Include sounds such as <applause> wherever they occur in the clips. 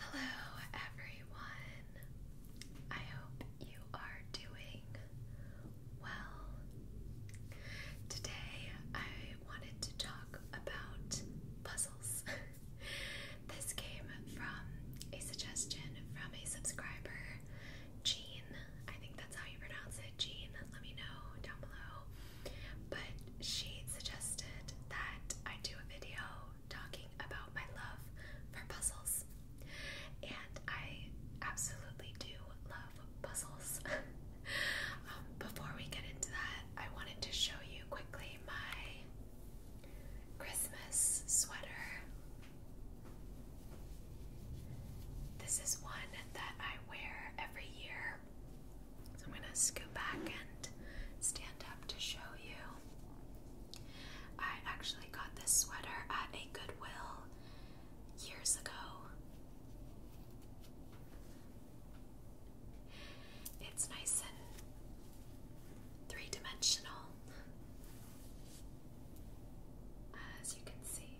Hello, everyone. I hope you are doing well. Today, I wanted to talk about puzzles. <laughs> this came from a suggestion from a subscriber, Jean. I think that's how you pronounce it, Jean. Let me know down below. But she suggested that I do a video talking about my love for puzzles. And I absolutely do love puzzles. <laughs> Um, before we get into that, I wanted to show you quickly my Christmas sweater. This is one that I wear every year. So I'm going to scoot back and stand up to show you. I actually got this sweater at a Goodwill years ago. It's nice and three dimensional, as you can see.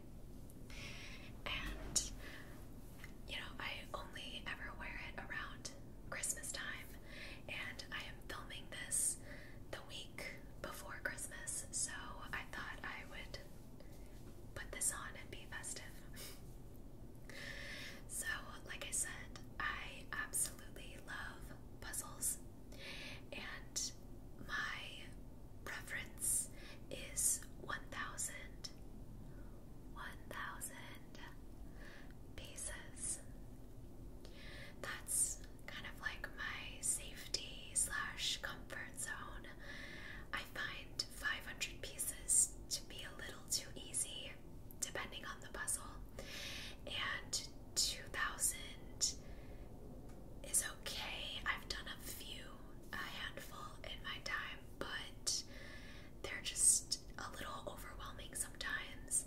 And, you know, I only ever wear it around Christmas time and I am filming this the week before Christmas, so I thought I would put this on and be festive. <laughs> so, like I said, I absolutely love puzzles, and my preference is 1,000. 1,000 pieces that's kind of like my safety slash comfort zone. I find 500 pieces to be a little too easy, depending on the puzzle, and 2000 is okay. I've done a few, a handful in my time, but they're just a little overwhelming sometimes,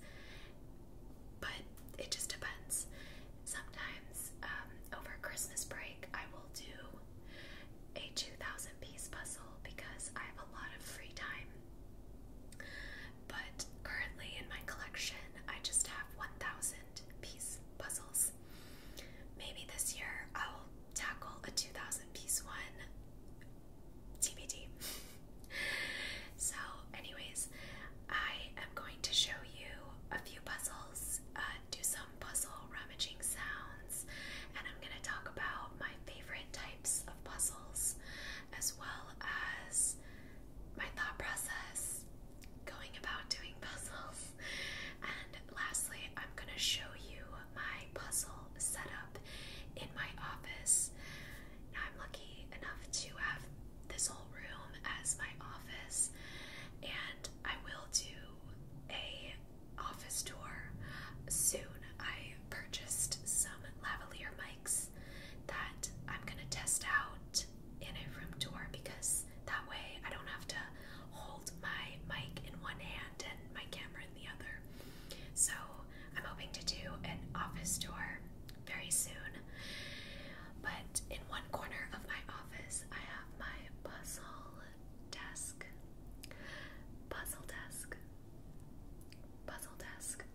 but it just depends. Sometimes um, over Christmas break, I will do a 2,000 piece puzzle because I have a lot of free time. But currently in my collection, I just have 1,000 piece puzzles. Maybe this year I'll tackle a 2,000 piece one TBD. <laughs> so, anyways, I am going to show you a few puzzles, uh, do some puzzle rummaging sounds, and I'm going to talk about my favorite types of puzzles as well as my thought process going about doing <laughs> puzzles. And lastly, I'm going to show you my puzzle setup in my office. I'm lucky enough to have this whole room as my office, and I will do a office tour soon. I purchased some lavalier mics that I'm gonna test out in a room tour because that way I don't have to hold my mic in one hand and my camera in the other. So I'm hoping to do an office tour very soon. But in one corner of my office, I have my puzzle desk. Puzzle desk. Puzzle desk.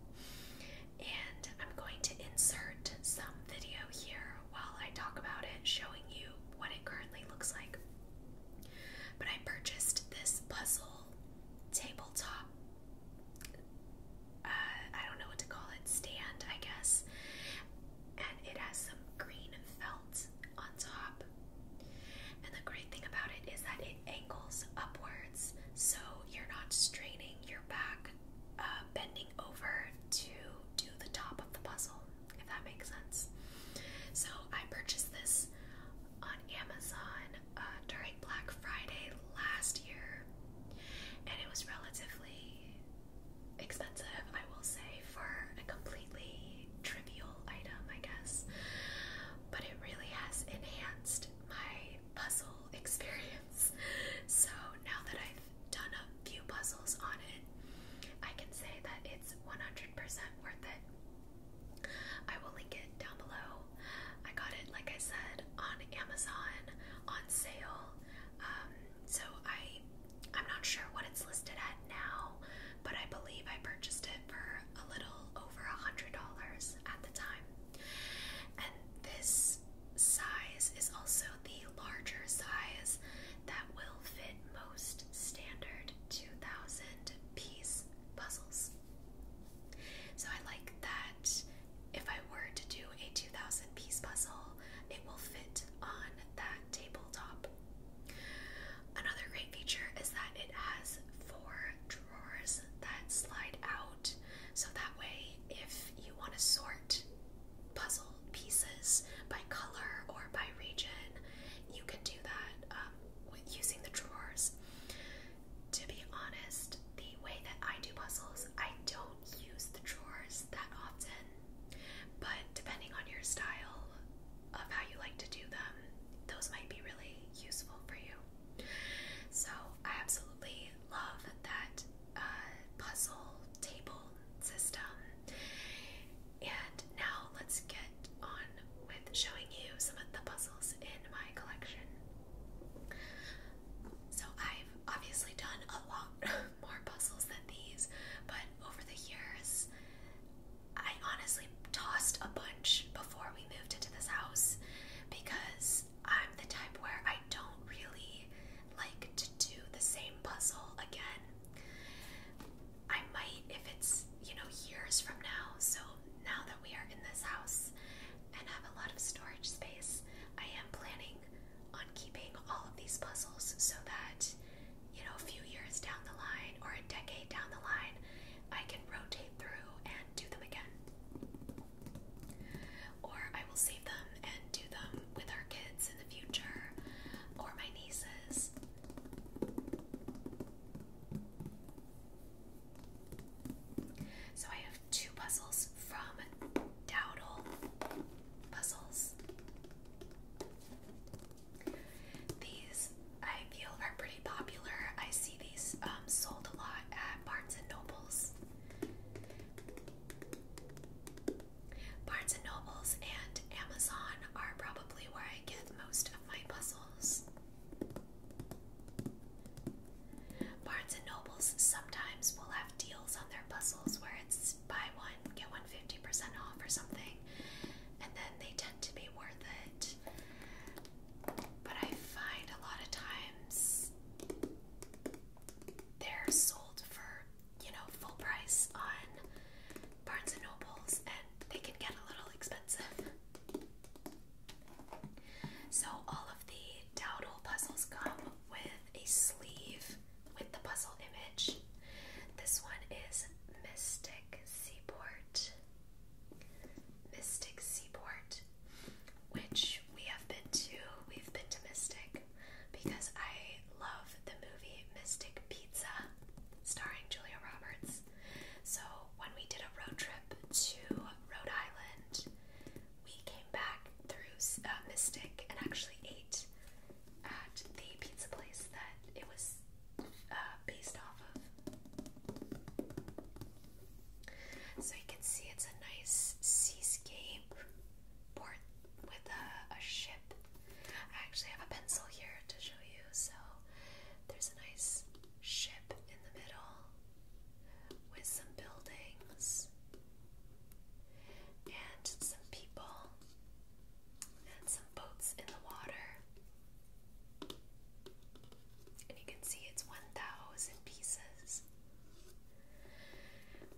And I'm going to insert some video here while I talk about it, showing you what it currently looks like. But I purchased this puzzle tabletop uh, I don't know what to call it, stand, I guess. And it has some green felt on top. And the great thing about it is that it angles upwards, so you're not straining your back, uh, bending over to do the top of the puzzle, if that makes sense. So I purchased this on Amazon uh, during Black Friday last year, and it was relatively expensive, I will say, for a completely trivial item, I guess. But it really has enhanced my puzzle <laughs> experience. So now that I've done a few puzzles on it, I can say that it's 100% worth it. I will link it down below I got it, like I said, on Amazon on sale. Um, so I, I'm not sure what it's listed at now, but I believe I purchased it for a little over a hundred dollars at the time. And this size is also the larger size that will fit most standard 2,000 piece puzzles. So I like that if I were to do a 2000 piece puzzle, it will fit on that tabletop. Another great feature is that it has four drawers that slide out. So that way, if you want to sort puzzle pieces by color or by region, you can do that um, with using the drawers. To be honest, the way that I do puzzles, I don't use the drawers that often. But depending on your style of how you like to do them, those might be really useful for you. So I absolutely love that uh, puzzle table system. And now let's get on with showing you some of the puzzles in my collection. So I've obviously done a lot <laughs> more puzzles than these, but over the years, I honestly tossed a bunch before we moved into this house because I'm the type where I don't really like to do the same puzzle again. I might if it's, you know, years from now. So now that we are in this house and have a lot of storage space. I am planning on keeping all of these puzzles so that, you know, a few years down the line or a decade down the line, I can rotate through and do them again. Or I will save them and do them with our kids in the future or my nieces. So I have two puzzles from Dowdle Puzzles. These I feel are pretty popular. I see these um, sold a lot at Barnes and Nobles. Barnes and Nobles and Amazon are probably where I get most of my puzzles. Barnes and Nobles sometimes will have deals on their puzzles where it's buy one, get one fifty percent off or something, and then they tend to be worth it. But I find a lot of times they're sold for, you know, full price on Barnes and Nobles and they can get a little expensive. So all of the dowdle puzzles come with a sleeve with the puzzle image. This one is Mystic Seaport. Mystic Seaport, which we have been to. We've been to Mystic because I love the movie Mystic Pizza starring Julia Roberts. So when we did a road trip to Rhode Island, we came back through uh, Mystic and actually ate at the pizza place that it was uh, based off of. So you can see it's a nice seascape port with a ship. I actually have a pencil here to show you. So there's a nice ship in the middle with some buildings. And some people and some boats in the water. And you can see it's 1,000 pieces.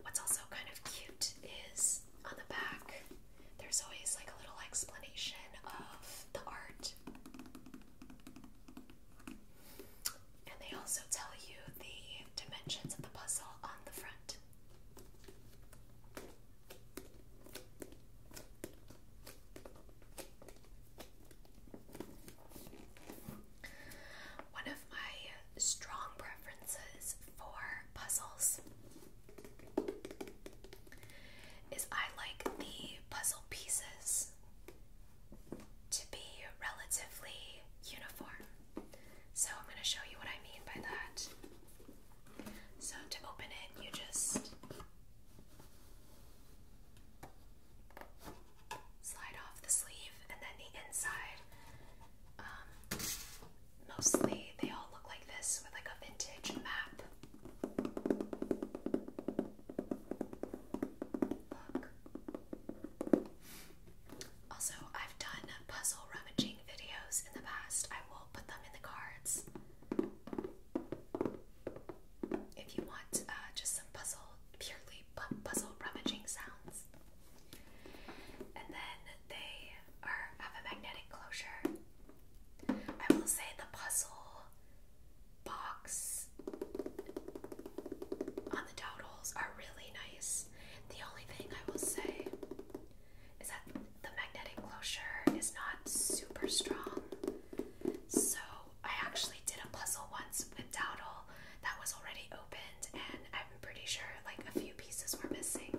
What's also kind of cute is on the back, there's always like a little explanation of the art. And they also tell you the dimensions of the puzzle on the front. One of my strong preferences for puzzles is I like the puzzle pieces to be relatively uniform. So I'm going to show you what I mean by that. So to open it, you just slide off the sleeve and then the inside. Um, mostly they all look like this with like a vintage map. Also, I've done puzzle rummaging videos in the past. I will put them in the cards. If you want uh, just some puzzle, purely puzzle rummaging sounds. And then they are have a magnetic closure. I will say the puzzle box on the totals are really nice. The only thing I will say is that the magnetic closure is not super strong. So I actually did a puzzle once with Dowdle that was already opened and I'm pretty sure like a few pieces were missing.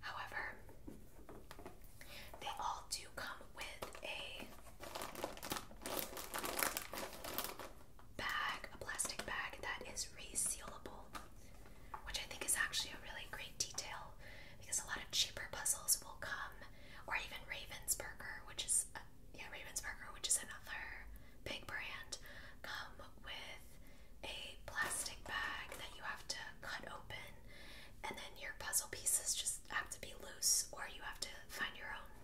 However, they all do come with a bag, a plastic bag that is resealable, which I think is actually a really great detail because a lot of cheaper puzzles will come, or even Ravensburger, which is yeah Ravensburger, which is another big brand, come with a plastic bag that you have to cut open, and then your puzzle pieces just have to be loose, or you have to find your own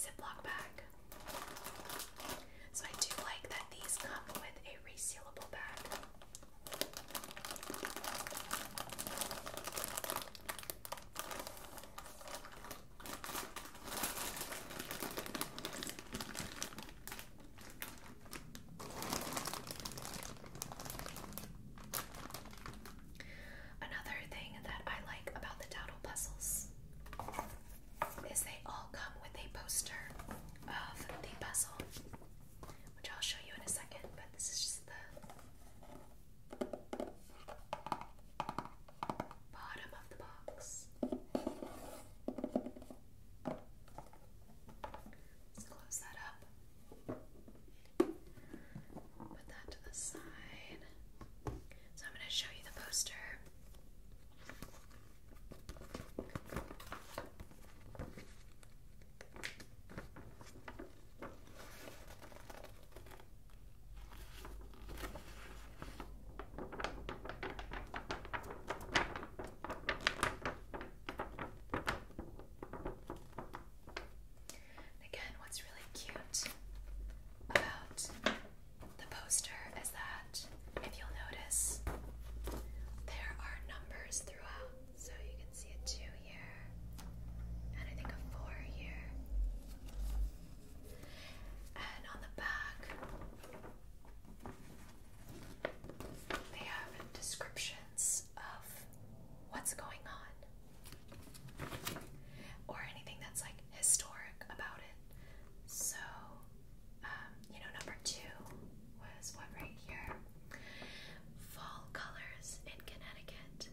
Ziploc bag. So I do like that these come with a resealable bag. Another thing that I like about the Dowdle puzzles is they all come with a poster of the puzzle, which I'll show you in a second, but this is just the bottom of the box. Let's close that up. Put that to the side. So I'm going to show you the poster. again, what's really cute about the poster is that if you'll notice, there are numbers throughout. So you can see a 2 here, and I think a 4 here. And on the back, they have descriptions of what's going on or anything that's like historic about it. So, um, you know, number two was what right here? Fall colors in Connecticut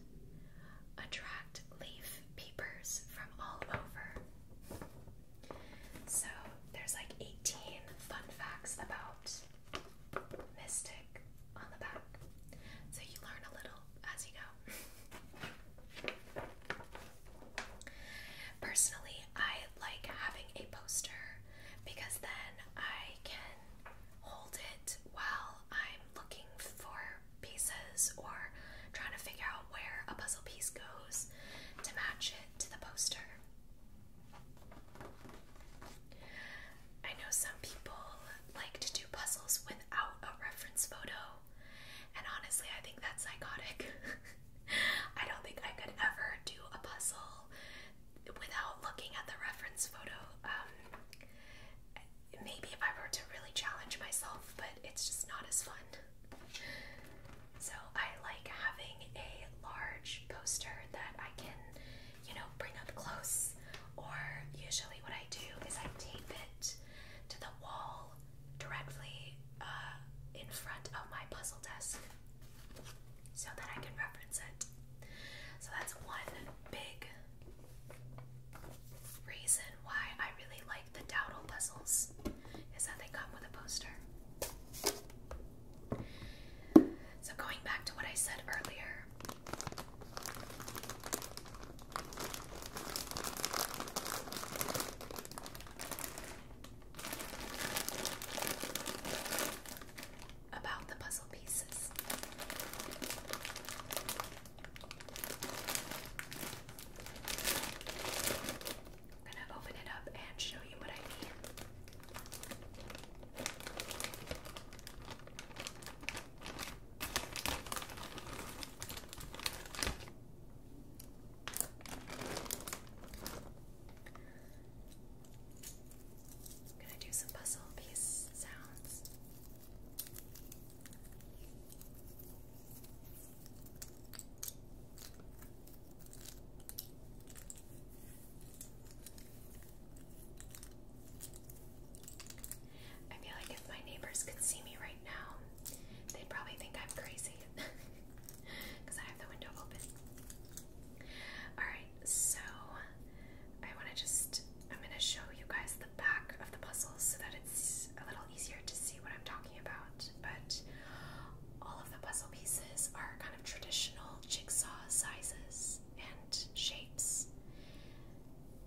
attract leaf peepers from all over. So, there's like 18 fun facts about Mystic on the back. So, you learn a little as you know. Personally, I like having a poster because then I can hold it while I'm looking for pieces or trying to figure out where a puzzle piece goes to match it to the poster. I know some people like to do puzzles without a reference photo and honestly, I think that's psychotic. <laughs> I don't think I could ever do a puzzle without looking at the reference photo. Um, maybe if I were to really challenge myself, but it's just not as fun. So I like having a large poster that I can, you know, bring up close. Or usually what I do is I tape it to the wall directly uh, in front of my puzzle desk so that I can reference it. So that's one big reason why I really like the Dowdle puzzles is that they come with a poster. So going back to what I said earlier, about the puzzle pieces. I'm going to open it up and show you what I mean. I'm gonna do some puzzle piece sounds. I feel like if my neighbors could see me right now, they probably think I'm crazy because <laughs> I have the window open. Alright, so I want to just, I'm going to show you guys the back of the puzzle so that it's a little easier to see what I'm talking about. But all of the puzzle pieces are kind of traditional jigsaw sizes and shapes.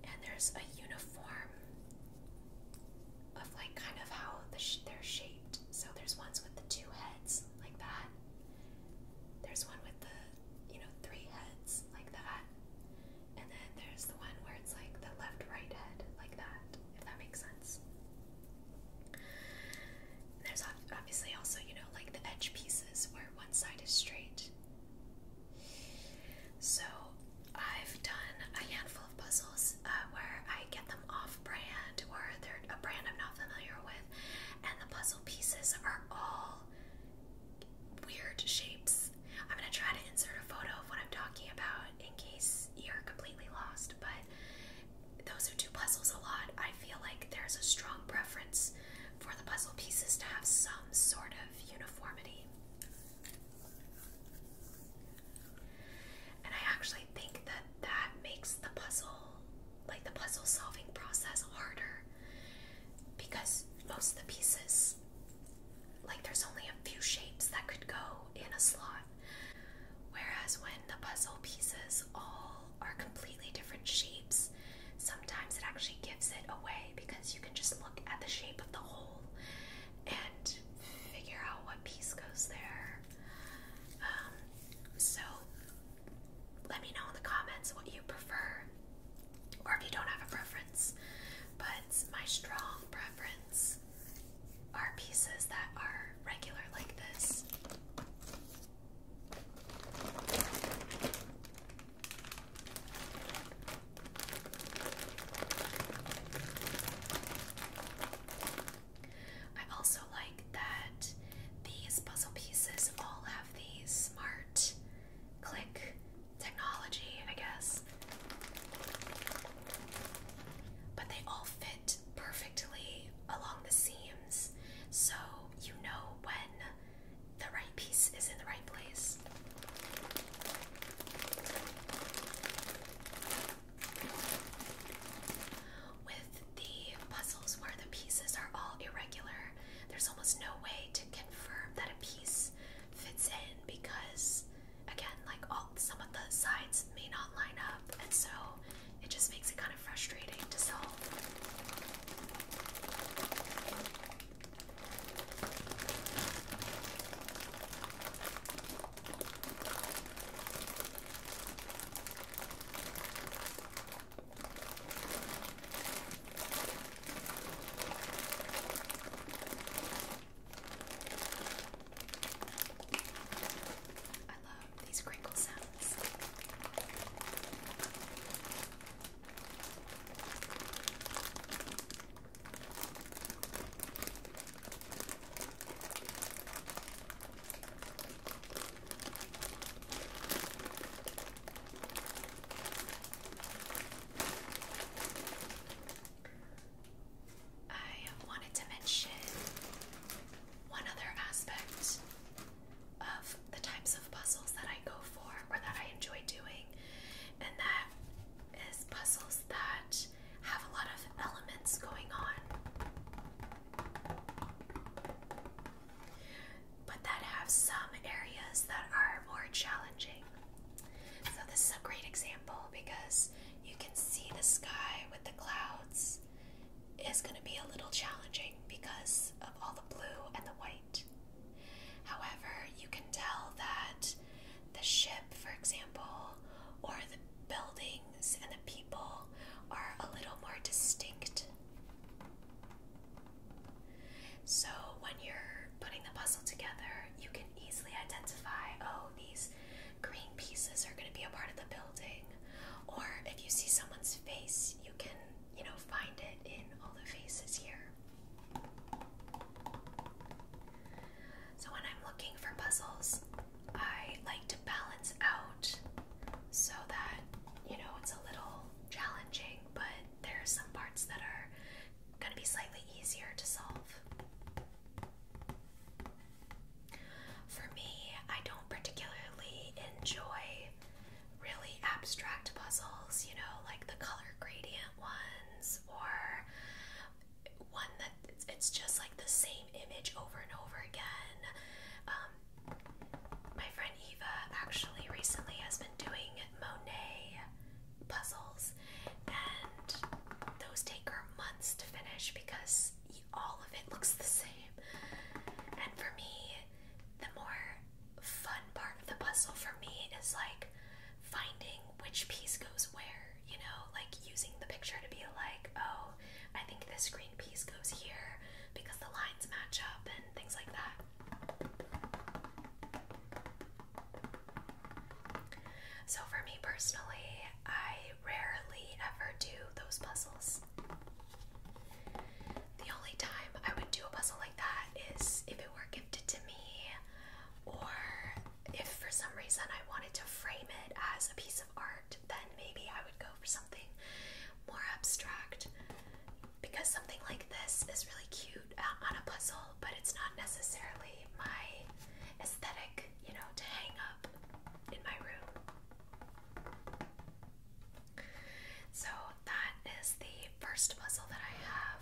And there's a uniform of like kind of how they're shaped. So there's ones with the two heads like that. There's one with the you know three heads like that. And then there's the one where it's like the left right head like that, if that makes sense. there's obviously also, you know, like the edge pieces where one side is straight. So I've done a handful of puzzles uh, where I get them off brand or they're a brand I'm not familiar with, and the puzzle pieces are all weird shapes. I'm gonna try to insert a photo of what I'm talking about in case you're completely lost, but those who do puzzles a lot, I feel like there's a strong preference for the puzzle pieces to have some sort of uniformity. And I actually think that that makes the puzzle, like the puzzle solving process, harder because most of the pieces, like there's only a few shapes that could go in a slot. Whereas when the puzzle pieces all are completely different shapes, sometimes it actually gives it away because you can just look at the shape of the whole and figure out what piece goes there. Um, so let me know in the comments what you prefer, or if you don't have a preference. But my strong preference are pieces that are regular like this. I also like that these puzzle pieces all have the smart click technology, I guess. But they all fit perfectly along the seams, so you know when the right piece is in the right place. With the puzzles where the pieces are all irregular, there's almost no way to confirm that a piece fits in because, again, like all some of the sides may not line up, and so it just makes it kind of frustrating to solve. I love these crinkle sounds. I wanted to mention one other aspect of the types of puzzles that I go for or that I enjoy doing, and that is puzzles that have a lot of elements going on, but that have some areas that are more challenging. So, this is a great example because you can see the sky with the clouds is going to be a little challenging because of all the blue and the white. However, you can tell that the ship, for example, or the buildings and the people are a little more distinct. So when you're putting the puzzle together, you can easily identify oh, these green pieces are going to be a part of the building. Or if you see someone's face, you can, you know, find it in all the faces here. So when I'm looking for puzzles, I like to balance out so that, you know, it's a little challenging, but there are some parts that are going to be slightly easier to solve. For me, I don't particularly enjoy really abstract puzzles, you know, like the color gradient ones or one that it's, just like the same image over and over again. Um, my friend Eva actually recently has been doing Monet puzzles, and those take her months to finish because all of it looks the same. And for me, the more fun part of the puzzle for me is like finding which piece goes where you know, like using the picture to be like, oh, I think this green piece goes here because the lines match up and things like that. So, for me personally, I rarely ever do those puzzles. The only time I would do a puzzle like that is if it were gifted to me, or if for some reason I wanted to frame it as a piece art, then maybe I would go for something more abstract because something like this is really cute uh, on a puzzle, but it's not necessarily my aesthetic, you know, to hang up in my room. So that is the first puzzle that I have.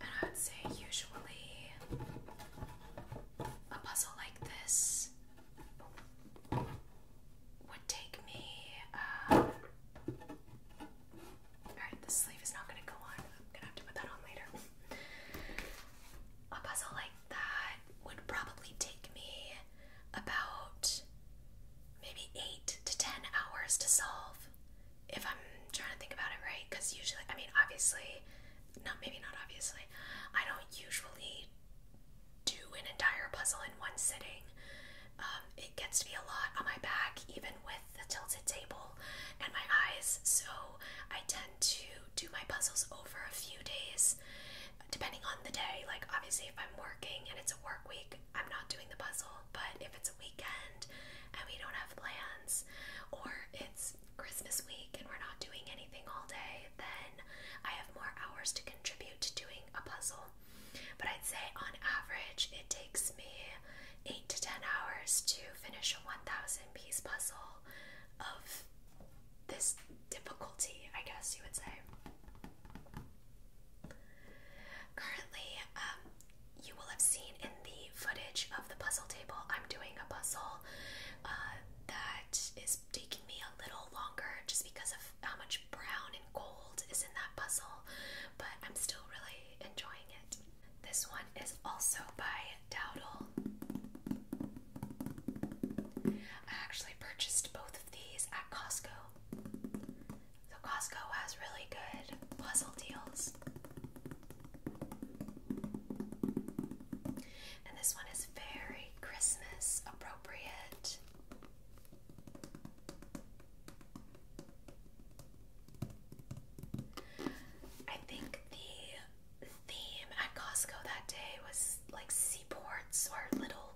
And I would say, usually, a puzzle like this would take me. Uh, alright, the sleeve is not going to go on. I'm going to have to put that on later. a puzzle like that would probably take me about maybe 8 to 10 hours to solve if I'm trying to think about it right, because usually, I mean, obviously, not maybe not obviously, I don't usually do an entire puzzle in one sitting. Um, it gets to be a lot on my back, even with the tilted table and my eyes, so I tend to do my puzzles over a few days, depending on the day. Like, obviously, if I'm working and it's a work week, I'm not doing the puzzle, but if it's a weekend and we don't have plans, or it's Christmas week and we're not doing anything all day, then I have more hours to contribute to doing a puzzle. But I'd say on average, it takes me 8 to 10 hours to finish a 1000 piece puzzle of this difficulty, I guess you would say. Currently, um, you will have seen in the footage of the puzzle table, I'm doing a puzzle uh, that is taking me a little longer just because of how much brown and gold is in that puzzle, but I'm still really enjoying it. This one is also by Dowdle. I actually purchased both of these at Costco. So Costco has really good puzzle deals. And this one is very Christmas appropriate. I think the theme at Costco that day was like seaports or little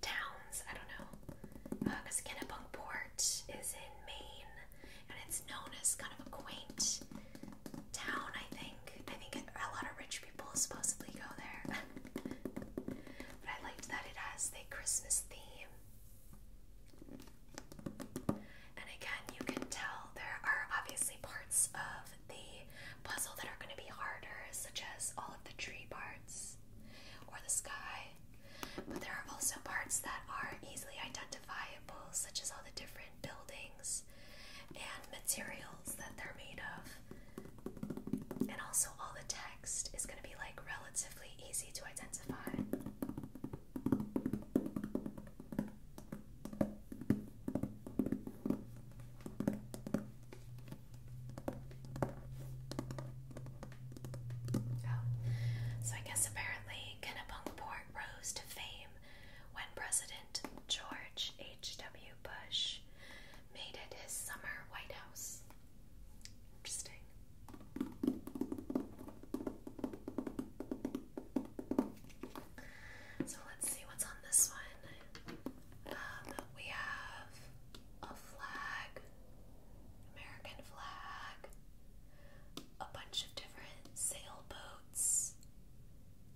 towns. I don't know. Because uh, Port is in Maine and it's known as kind of a quaint town, I think. I think a lot of rich people supposedly go there. <laughs> but I liked that it has the Christmas theme. And again, you can tell there are obviously parts of the puzzle that are going to be harder, such as all of the tree parts or the sky. But there are also parts that are easily identifiable, such as the different buildings and materials that they're made of. And also, all the text is going to be like relatively easy to identify. Oh. So I guess apparently Kennebunkport rose to fame when President George H.W. Bush made it his summer White House. Interesting. So let's see what's on this one. Um, we have a flag, American flag, a bunch of different sailboats,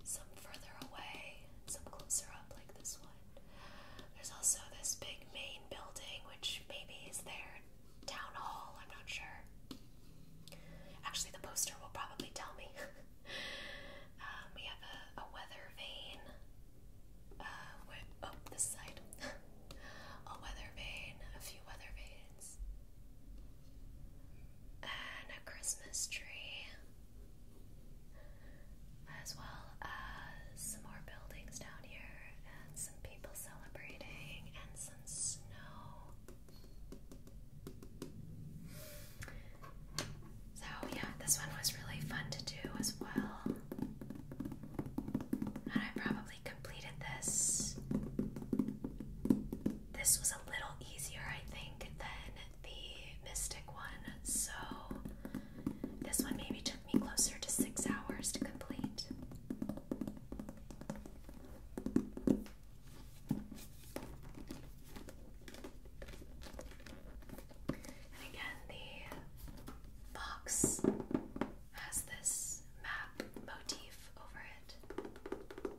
some further away, some closer up, like this one. There's also this big main building, which maybe is their town hall, I'm not sure. Actually, the poster will probably tell me. <laughs> Um, we have a, weather vane. Uh, oh, this side. <laughs> a weather vane, a few weather vanes and uh, a Christmas tree, as well as some more buildings down here, and some people celebrating, and some snow. So, yeah, this one was really fun to do as well. And I probably completed this this was a little easier, I think, than the Mystic one, so this one maybe took me closer to six hours to complete. And again, the box has this map motif over it.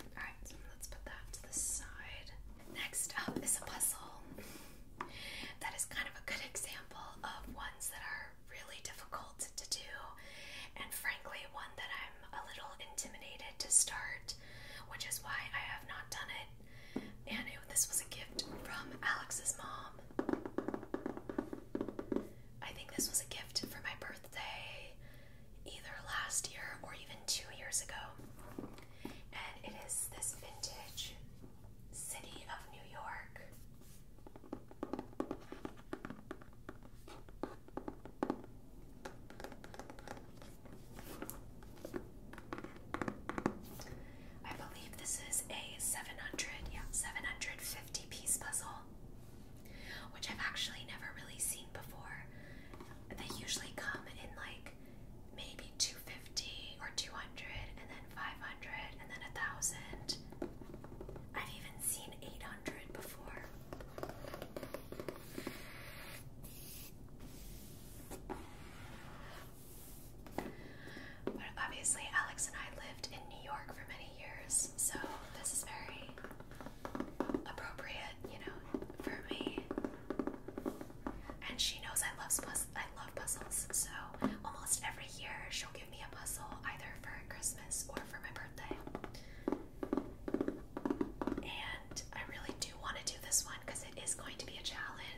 Alright, let's put that to the side. Next up is a puzzle. that is kind of a good example of ones that are really difficult to do, and frankly, one that I'm a little intimidated to start, which is why I have not done it and this was a gift from Alex's mom. I think this was a gift for my birthday either last year or even two years ago. And it is this vintage City of New York. I believe this is a 700, yeah, 750 piece puzzle, which I've actually never really seen before. They usually come in like maybe 250 or 200, and then 500, and then a 1000. I've even seen 800 before. But obviously, Alex and I lived in New York for many years, so this is very appropriate, you know, for me. And she knows I love I love puzzles, so almost every year she'll give me a puzzle either for Christmas or for my birthday. And I really do want to do this one because it is going to be a challenge.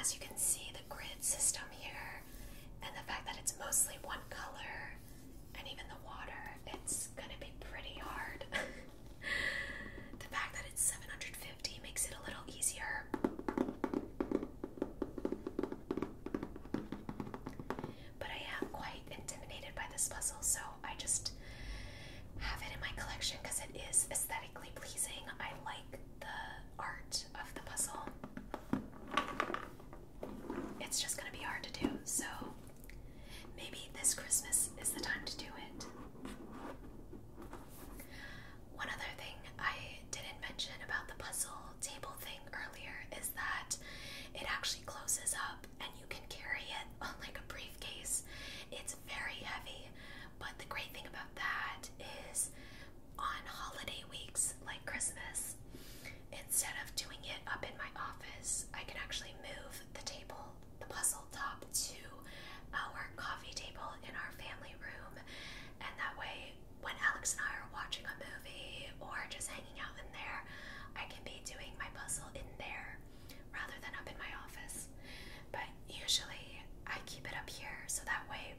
As you can see, the grid system here, and the fact that it's mostly one color, and even the water, it's gonna be pretty hard. <laughs> the fact that it's 750 makes it a little easier. But I am quite intimidated by this puzzle, so I just have it in my collection because it is aesthetically pleasing. I like the art of the puzzle. It's just going to be hard to do, so maybe this Christmas is the time to do it. One other thing I didn't mention about the puzzle table thing earlier is that it actually closes up and you can carry it <laughs> on like a briefcase. It's very heavy, but the great thing about that is on holiday weeks like Christmas, instead of doing it up in my office, I can actually move the table, the puzzle top, to our coffee table in our family room. And that way, when Alex and I are watching a movie or just hanging out in there, I can be doing my puzzle in there rather than up in my office. But usually, I keep it up here so that way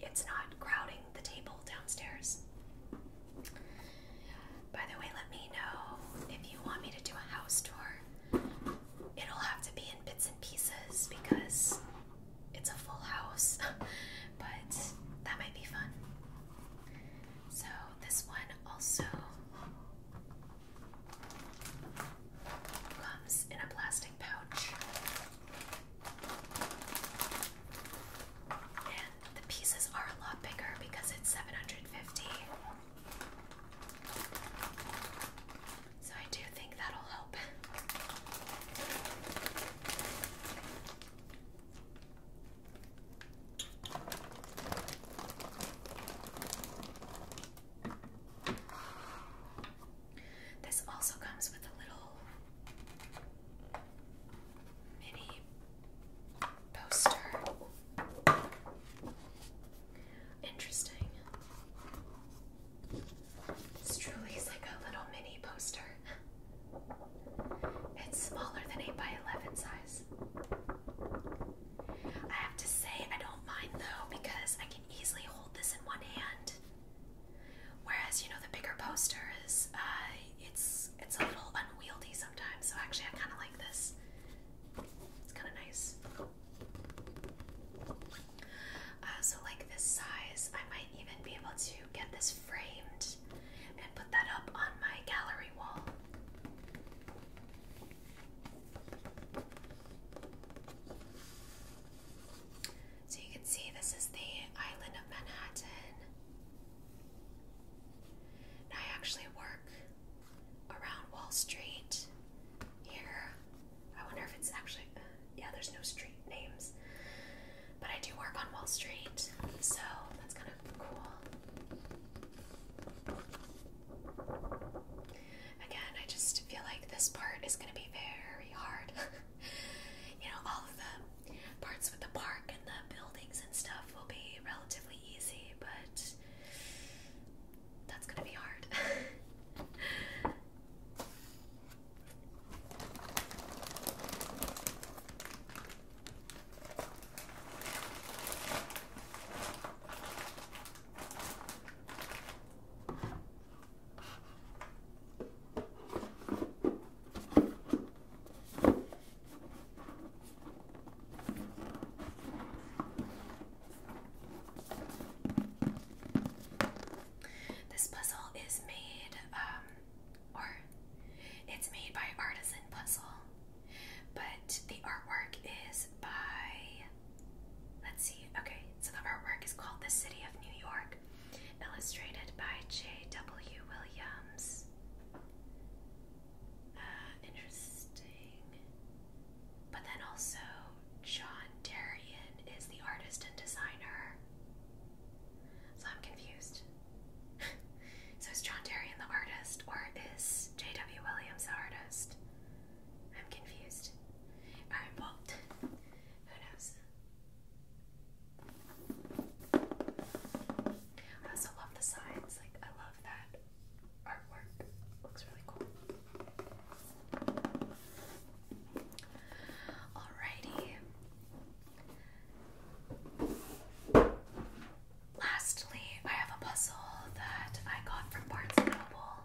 it's not crowding the table downstairs. By the way, let me know if you want me to do a house tour. It'll have to be in bits and pieces because it's a full house, <laughs> but that might be fun. So, this one also comes in a plastic pouch. And the pieces are a lot bigger because it's 750. So I do think that'll help. This also comes with a little mini poster. Interesting. This truly is like a little mini poster. It's smaller than 8 by 11 size. I have to say I don't mind though because I can easily hold this in one hand Whereas you know the bigger poster is uh, it's it's a little unwieldy sometimes. So actually, I kind of like this. It's kind of nice. Uh, so like this size, I might even be able to get this framed and put that up on my gallery wall. So you can see this is the island of Manhattan. I actually work around Wall Street here. I wonder if it's actually, yeah, there's no street names. But I do work on Wall Street, so that's kind of cool. Again, I just feel like this part is going to be very hard. <laughs> you know, all of the parts with the park and the buildings and stuff will be relatively easy, but that's gonna be hard. <laughs> This puzzle is made, um, or it's made by Artisan Puzzle, but the artwork is by, let's see, okay, so the artwork is called The City of New York illustrated by J.W. Williams. Uh, interesting. But then also, John Darien is the artist and designer. So I'm confused. <laughs> so is John Darien the artist, or is J.W. Williams the artist? I'm confused. Alright, well, <laughs> who knows? I also love the signs, like, I love that artwork, looks really cool. Alrighty. Lastly, I have a puzzle that I got from Barnes and Noble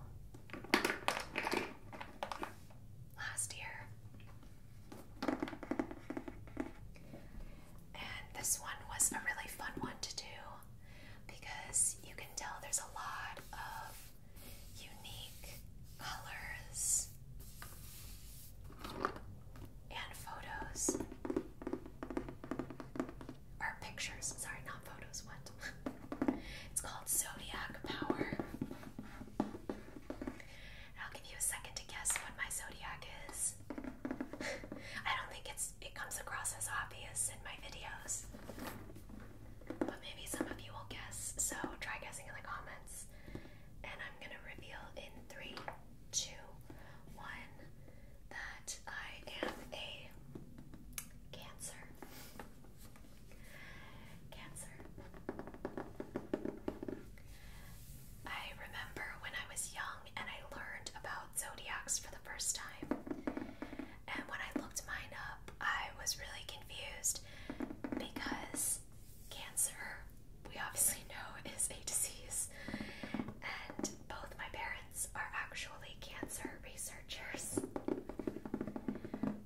last year. And this one was a really fun one to do because you can tell there's a lot of unique colors and photos. Or pictures, sorry, not photos, what? <laughs> it's called Zodiac Power. I'll give you a second to guess what my zodiac is. <laughs> I don't think it's it comes across as obvious in my videos. But maybe some of you will guess. So try guessing in the comments. And I'm gonna reveal in three, two, one that I am a Cancer. Cancer. I remember when I was young and I learned about zodiacs for the first time. And when I looked mine up, I was really confused because cancer, we obviously know, <laughs> is a disease. And both my parents are actually cancer researchers.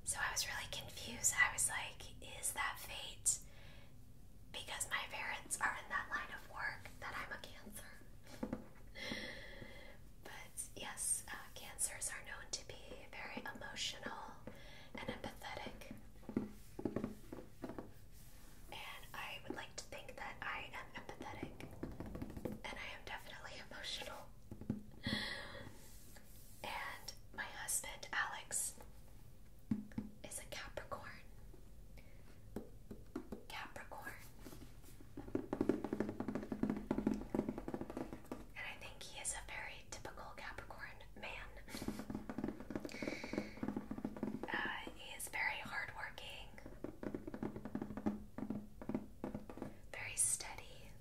So I was really confused. I was like, is that fate? because my parents are in that line of work that I'm a Cancer. <laughs> but yes, uh, Cancers are known to be very emotional and empathetic. And I would like to think that I am empathetic. And I am definitely <laughs> emotional. And my husband, Alex, is a Capricorn. Capricorn. And I think he is a very typical Capricorn man. Uh, he is very hardworking, very steady,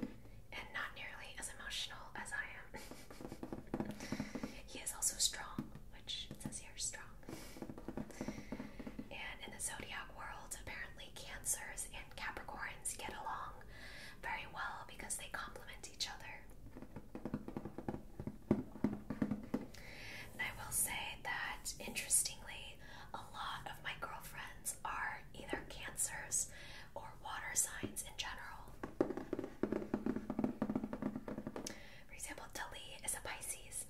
and not nearly as emotional as I am. <laughs> he is also strong, which says he is strong. And in the zodiac world, apparently Cancers and Capricorns get along very well because they complement each other. And I will say that interestingly, a lot of my girlfriends are either Cancers or water signs in general. For example, Tali is a Pisces,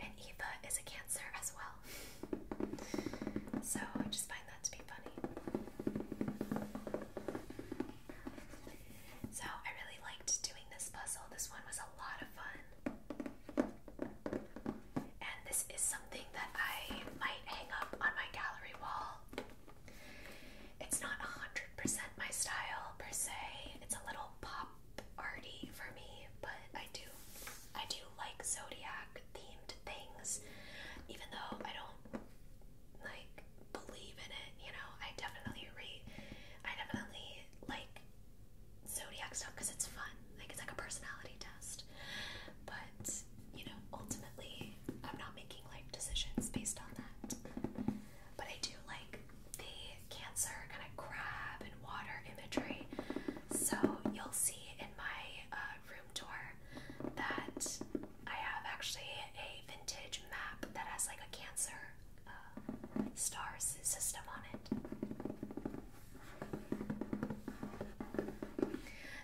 and Eva is a Cancer as well. So I just find that to be funny. So I really liked doing this puzzle. This one was a lot of fun. And this is something that I might hang up on my gallery wall it's not 100% my style per se. It's a little pop arty for me, but I do I do like zodiac themed things even though I don't like believe in it, you know. I definitely read, I definitely like zodiac stuff cuz it's fun. Like it's like a personality test. But you know, ultimately, I'm not making life decisions based on that. But I do like the cancer kind of crab and water imagery. So you'll see in my uh, room door that I have actually a vintage map that has like a cancer uh, stars system on it.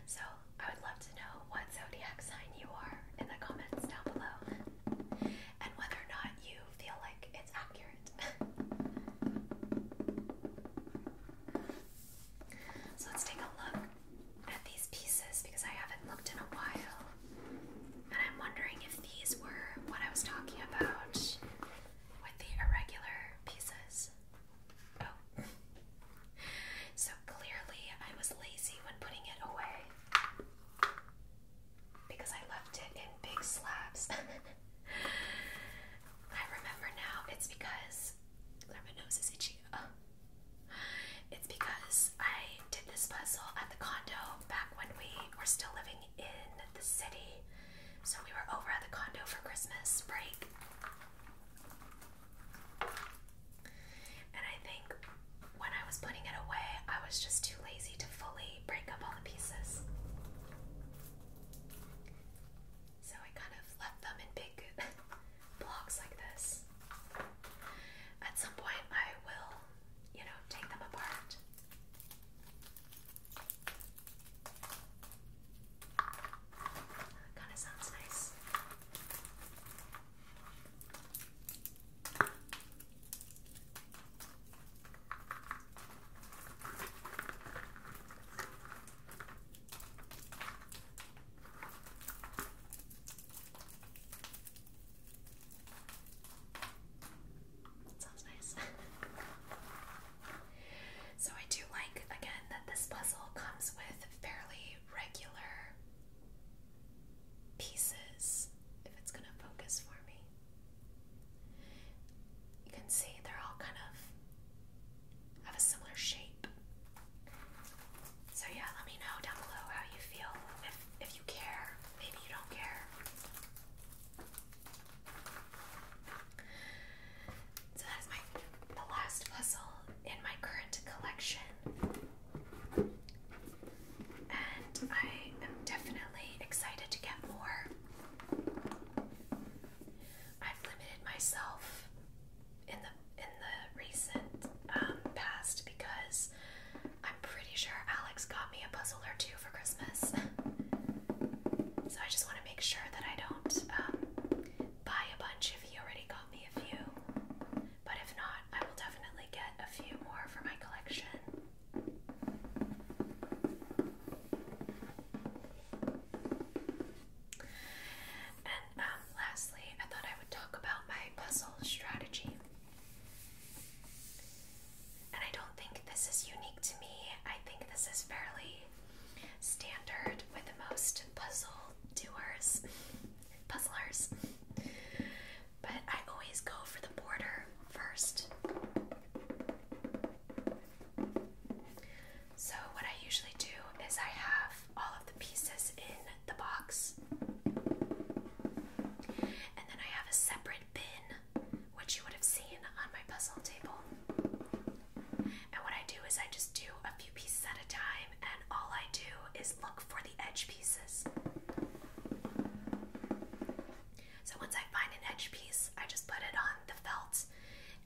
So I would love to know what zodiac sign you are in the comments down below and whether or not you feel like it's accurate. <laughs> so let's take a look at these pieces because I haven't looked in a while and I'm wondering if these were what I was talking about with the irregular pieces. Oh. So clearly, I was lazy when putting it away because I left it in big slabs. <laughs> I remember now it's because my nose is itchy. it's because I did this puzzle at the condo back when we were still living in the city. So we were over at the condo for Christmas break, and I think when I was putting it away, I was just too lazy to fully break up all the pieces. So I kind of left them in big <laughs> blocks like this. At some point, I will, you know, take them apart. That kind of sounds nice sounds nice. <laughs> so I do like again that this puzzle comes with fairly regular pieces if it's going to focus for me. You can see they're all kind of have a similar shape. So yeah, let me know down below how you feel. If if you care, maybe you don't care. So that is my the last puzzle in my current collection. And I am definitely excited to get more. I've limited myself in the in the recent um, past because I'm pretty sure Alex got me a puzzle or two for Christmas. so I just want to make sure that I don't um, buy a bunch if he already got me a few. But if not, I will definitely get a few more for my collection. And um, lastly, I thought I would talk about my puzzle strategy. And I don't think this is unique to me. I think this is fairly standard with most puzzle doers puzzlers. But I always go for the border first. So, what I usually do is I have all of the pieces in the box, and then I have a separate bin, which you would have seen on my puzzle table. And what I do is I just do a few pieces at a time, and all I do is look for the edge pieces. So once I find an edge piece, I just put it on the felt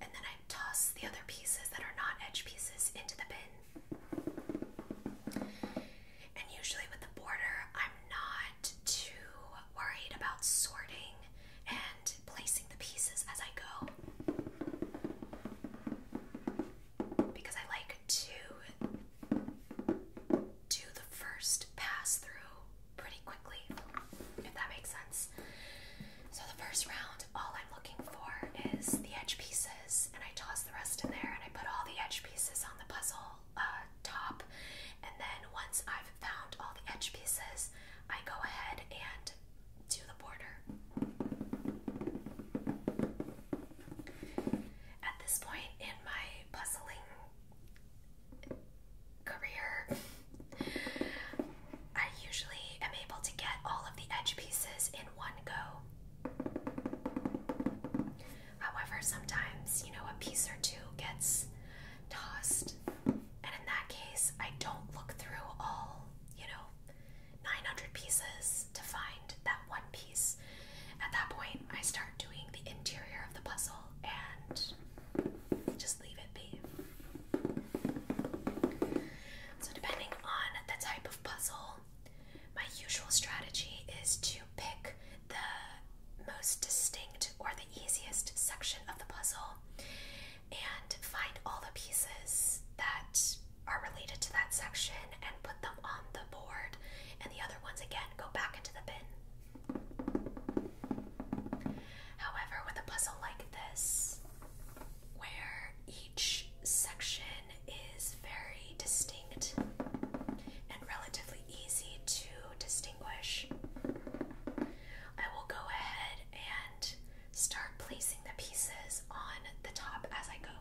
and then I toss the other pieces that are not edge pieces into the bin. And usually with the border, I'm not too worried about sorting and placing the pieces as I go. Because I like to do the first pass through pretty quickly, if that makes sense. So, the first round, all I'm looking for is the edge pieces, and I toss the rest in there, and I put all the edge pieces on the puzzle uh, top. And then, once I've found all the edge pieces, I go ahead and do the border. At this point in my puzzling career, I usually am able to get all of the edge pieces in one go. However, sometimes, you know, a piece or two gets tossed, and in that case, I don't look through all, you know, 900 pieces to find that one piece. At that point, I start doing the interior of the puzzle and just leave it be. So, depending on the type of puzzle, my usual strategy is to pick the most distinct or the easiest section of the puzzle and find all the pieces that are related to that section and put them on the board, and the other ones again go back into the bin. However, with a puzzle like this, where each section is very distinct and relatively easy to distinguish, I will go ahead and start placing the pieces on the top as I go.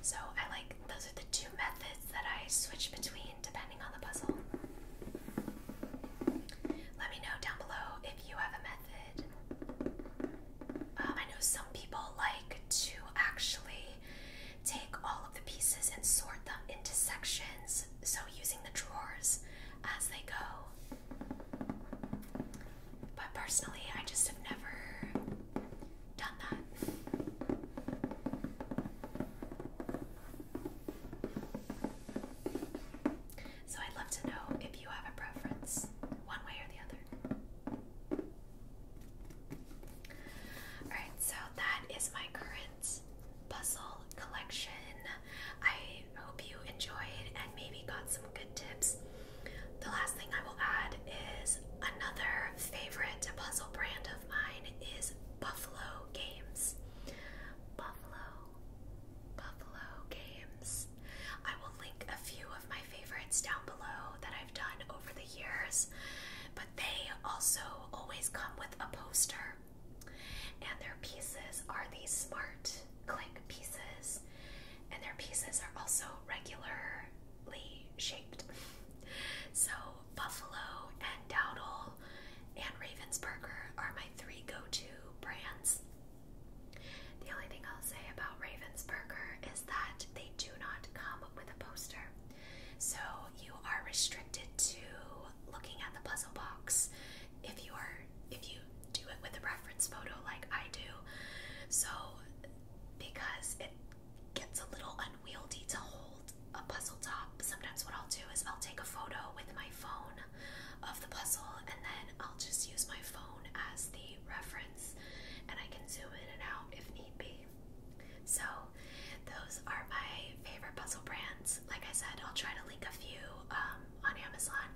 So I like those are the two methods that I switch between depending on the puzzle. Let me know down below if you have a method. Uh, I know some people like to actually take all of the pieces and sort them into sections, so using the drawers as they go. But personally, I just have never done that. So I'd love to know if you have a preference, one way or the other. Alright, so that is my current puzzle collection. I hope you enjoyed and maybe got some good tips. The last thing I will add is another favorite puzzle brand of mine is Buffalo Games. Buffalo, Buffalo Games. I will link a few of my favorites down below that I've done over the years, but they also always come with a poster. And their pieces are these smart click pieces and their pieces are also regularly shaped. so, Buffalo and Dowdle and Ravensburger are my three go to brands. The only thing I'll say about Ravensburger is that they do not come with a poster. So, you are restricted to looking at the puzzle box if you are if you do it with a reference photo like I do. So because it gets a little unwieldy to hold a puzzle top, sometimes what I'll do is I'll take a photo with my phone of the puzzle and then I'll just use my phone as the reference and I can zoom in and out if need be. So those are my favorite puzzle brands. Like I said, I'll try to link a few um, on Amazon.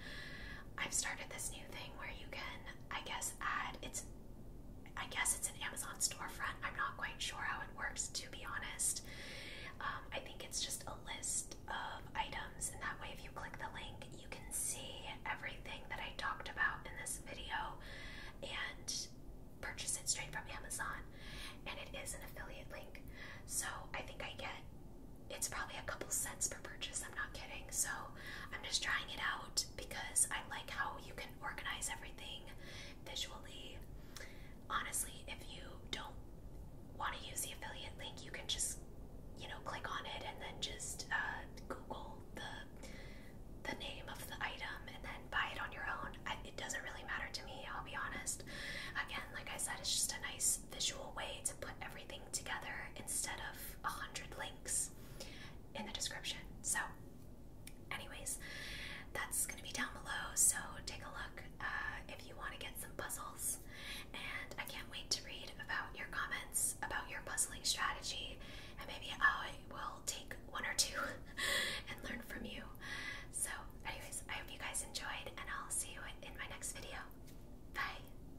I've started this new thing where you can, I guess, add it's I guess it's an Amazon storefront. I'm not quite sure how it works, to be honest. Um, I think it's just a list of items, and that way, if you click the link, you can see everything that I talked about in this video and purchase it straight from Amazon. And it is an affiliate link. So I think I get it's probably a couple cents per purchase, I'm not kidding. So I'm just trying it out because I like how you can organize everything visually. Honestly, if you don't want to use the affiliate link, you can just, you know, click on it and then just uh, Google the the name of the item and then buy it on your own. it doesn't really matter to me, I'll be honest. Again, like I said, it's just a nice visual way to put everything together instead of a hundred links in the description. So, anyways, that's gonna be down below. So take a look uh, if you want to get some puzzles. And I can't wait to read about your comments about your puzzling strategy, and maybe I will take one or two <laughs> and learn from you. So, anyways, I hope you guys enjoyed, and I'll see you in my next video. Bye.